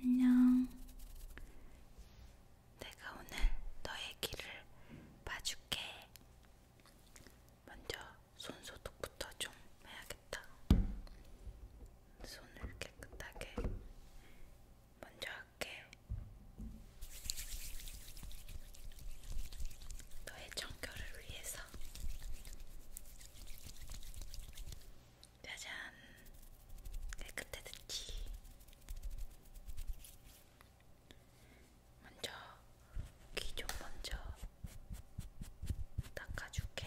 안녕. 내가 오늘 너의 길을 봐줄게. 먼저 손 소독부터 좀 해야겠다. 손을 깨끗하게 먼저 할게. 너의 청결을 위해서. 짜잔 깨끗해 듣기 먼저 귀 좀 먼저 닦아줄게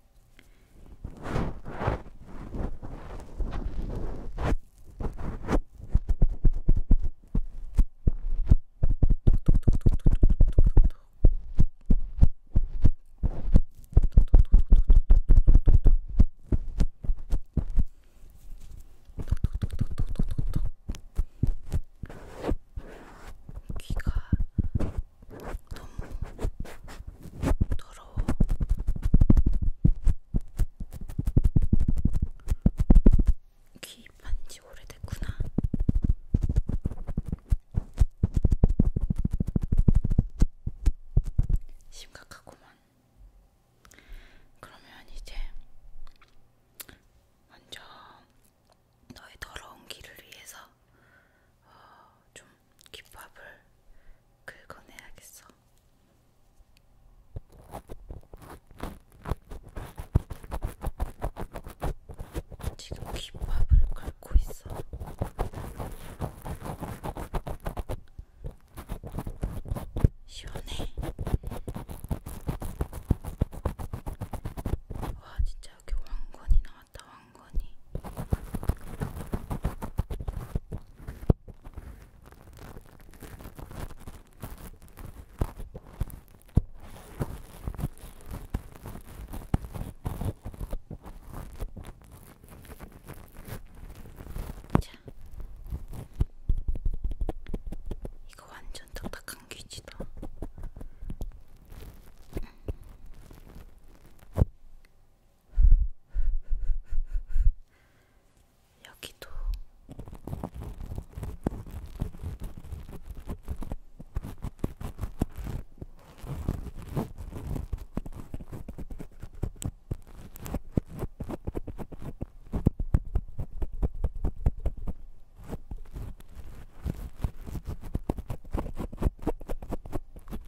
귀가 너무 더러워서 부러워. 귀입한 지 오래됐구나. 심각하구만. 그러면 이제 먼저 너의 더러운 귀를 위해서 어, 좀 기밥을 긁어내야겠어. 지금 기밥을 긁고 있어. 시원해. 와, 진짜 여기 왕건이 나왔다, 왕건이. 자, 이거 완전 딱딱한 귀지다. 응. 여기도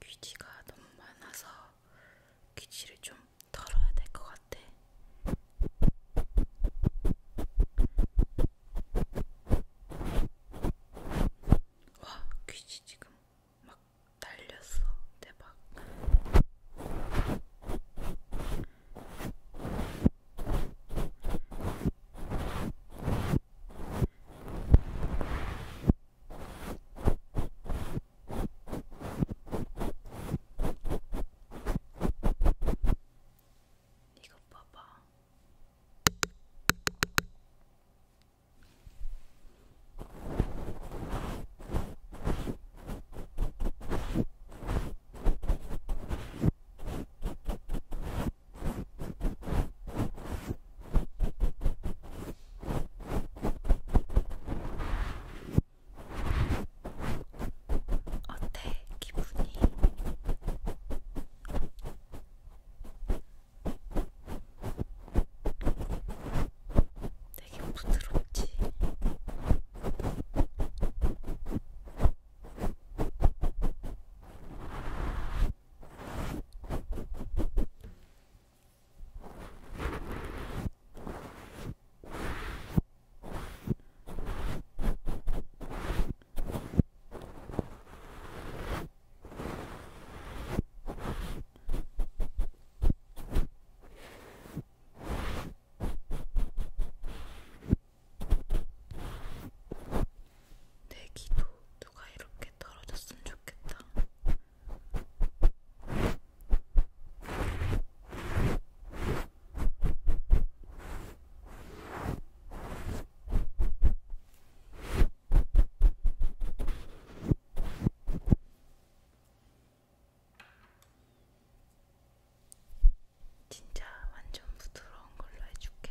귀지가 너무 많아서 귀지를 좀 털어야 될 것 같아. 와, 귀지 지금 막 날렸어. 대박. 이거 봐봐. 어때? 기분이? 되게 부드럽지? 내 귀도 누가 이렇게 떨어졌으면 좋겠다. 진짜 완전 부드러운 걸로 해줄게.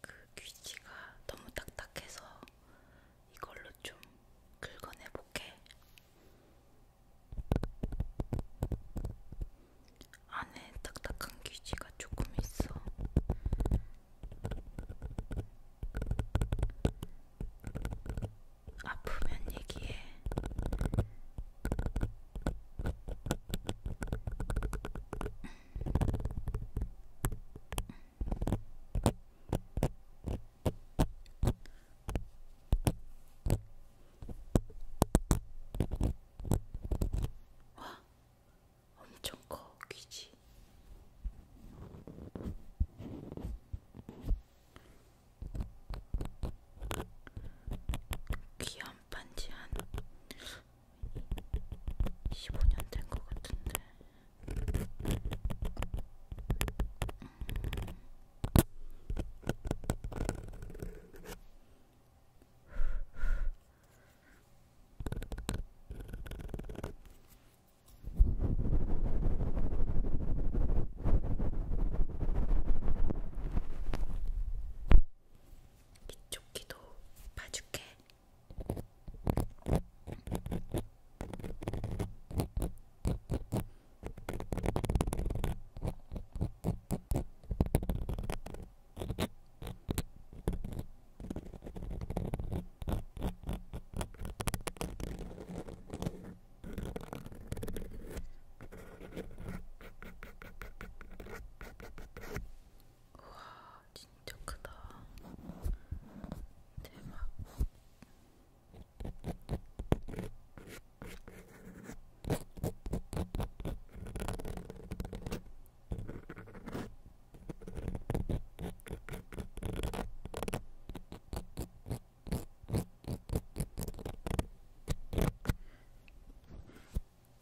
그 귀지가 너무 딱딱해서 이걸로 좀 긁어내 볼게. 안에 딱딱한 귀지가 조금 있어. 아프면 얘기해. 와, 엄청 커 귀지. 귀한 반지 한 15년 된 것 같은데. 음. 이쪽 귀도 봐줄게. 우와 진짜 크다 대박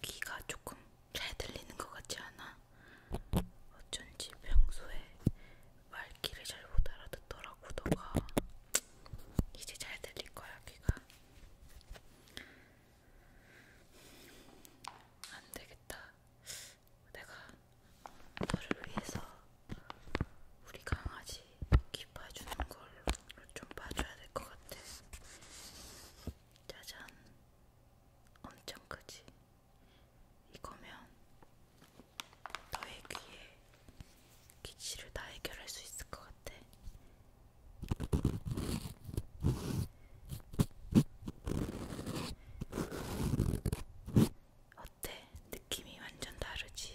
귀가 조금 잘 들리는 것 같지 않아? 어쩐지 평소에 말귀를 잘 못 알아듣더라고 너가 이제 잘 들릴 거야 귀가 안 되겠다 내가 너를 위해서 우리 강아지 같이 귀 봐주는 걸로 좀 봐줘야 될 것 같아. 짜잔, 엄청 크지? 이거면 너의 귀에 기치를 다 해결할 수 있을 것 같아. 어때? 느낌이 완전 다르지?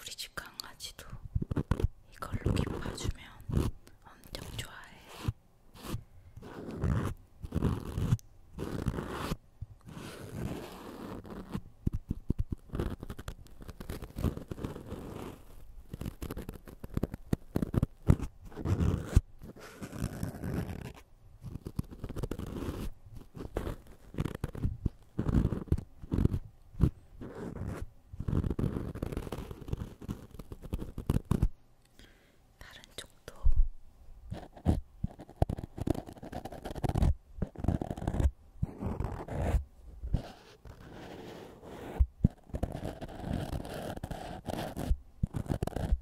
우리 집 강아지도 이걸로 기뻐주면 엄청 좋아해. 다른 쪽도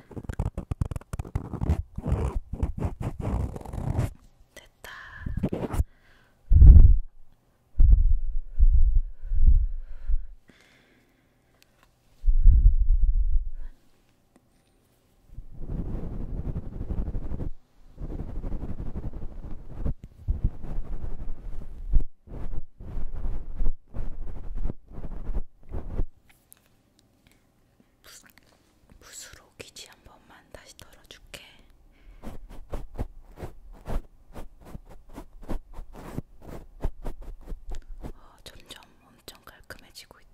됐다. 붓으로 귀지 한 번만 다시 털어줄게. 어, 점점 엄청 깔끔해지고 있다.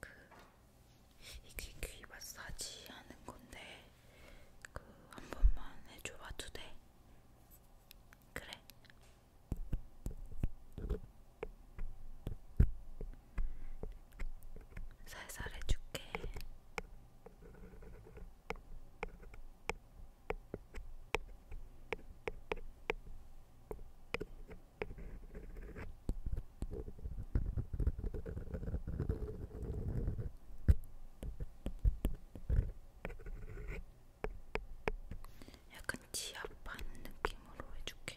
그 이게 귀 마사지 하는 건데 그 한 번만 해줘봐도 돼? 그래. 살살 해줄게. 약간 지압하는 느낌으로 해줄게.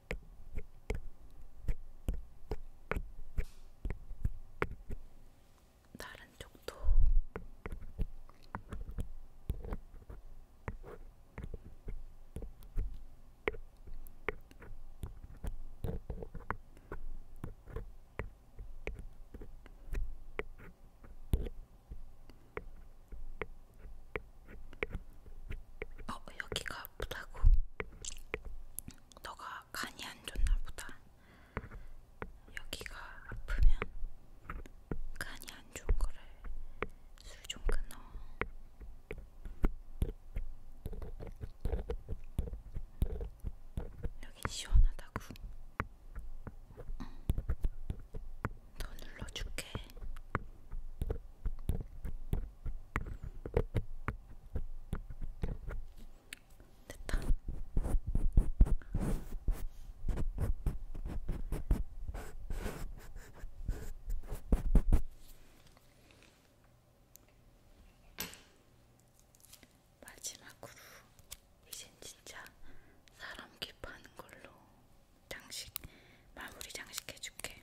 다른 쪽도 어 여기가 아프다고 너가 간이 안 좋나 보다 여기가 아프면 간이 안 좋은 거를 술 좀 끊어 여기 시원하다고 응. 더 눌러줄게 됐다. 마지막으로 이젠 진짜 사람 킵하는 걸로 장식 마무리 장식해줄게.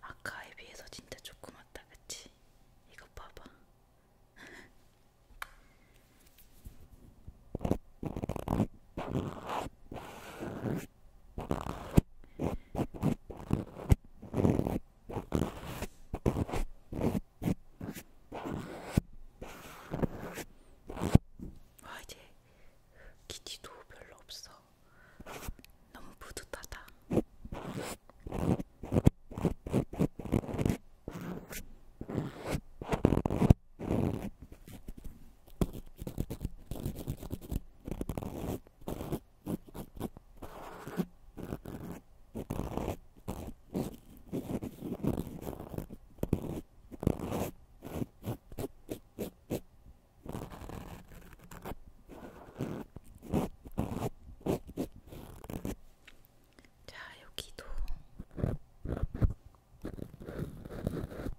아까에 비해서 진짜 조그맣다, 그치? 이거 봐봐. 와 아, 이제 기티도 별로 없어. 너무 뿌듯하다. 자, 여기도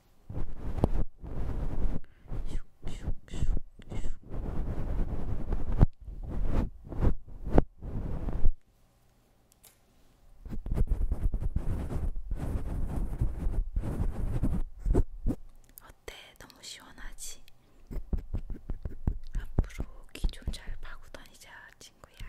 어때? 너무 시원하지? 앞으로 귀 좀 잘 파고 다니자, 친구야.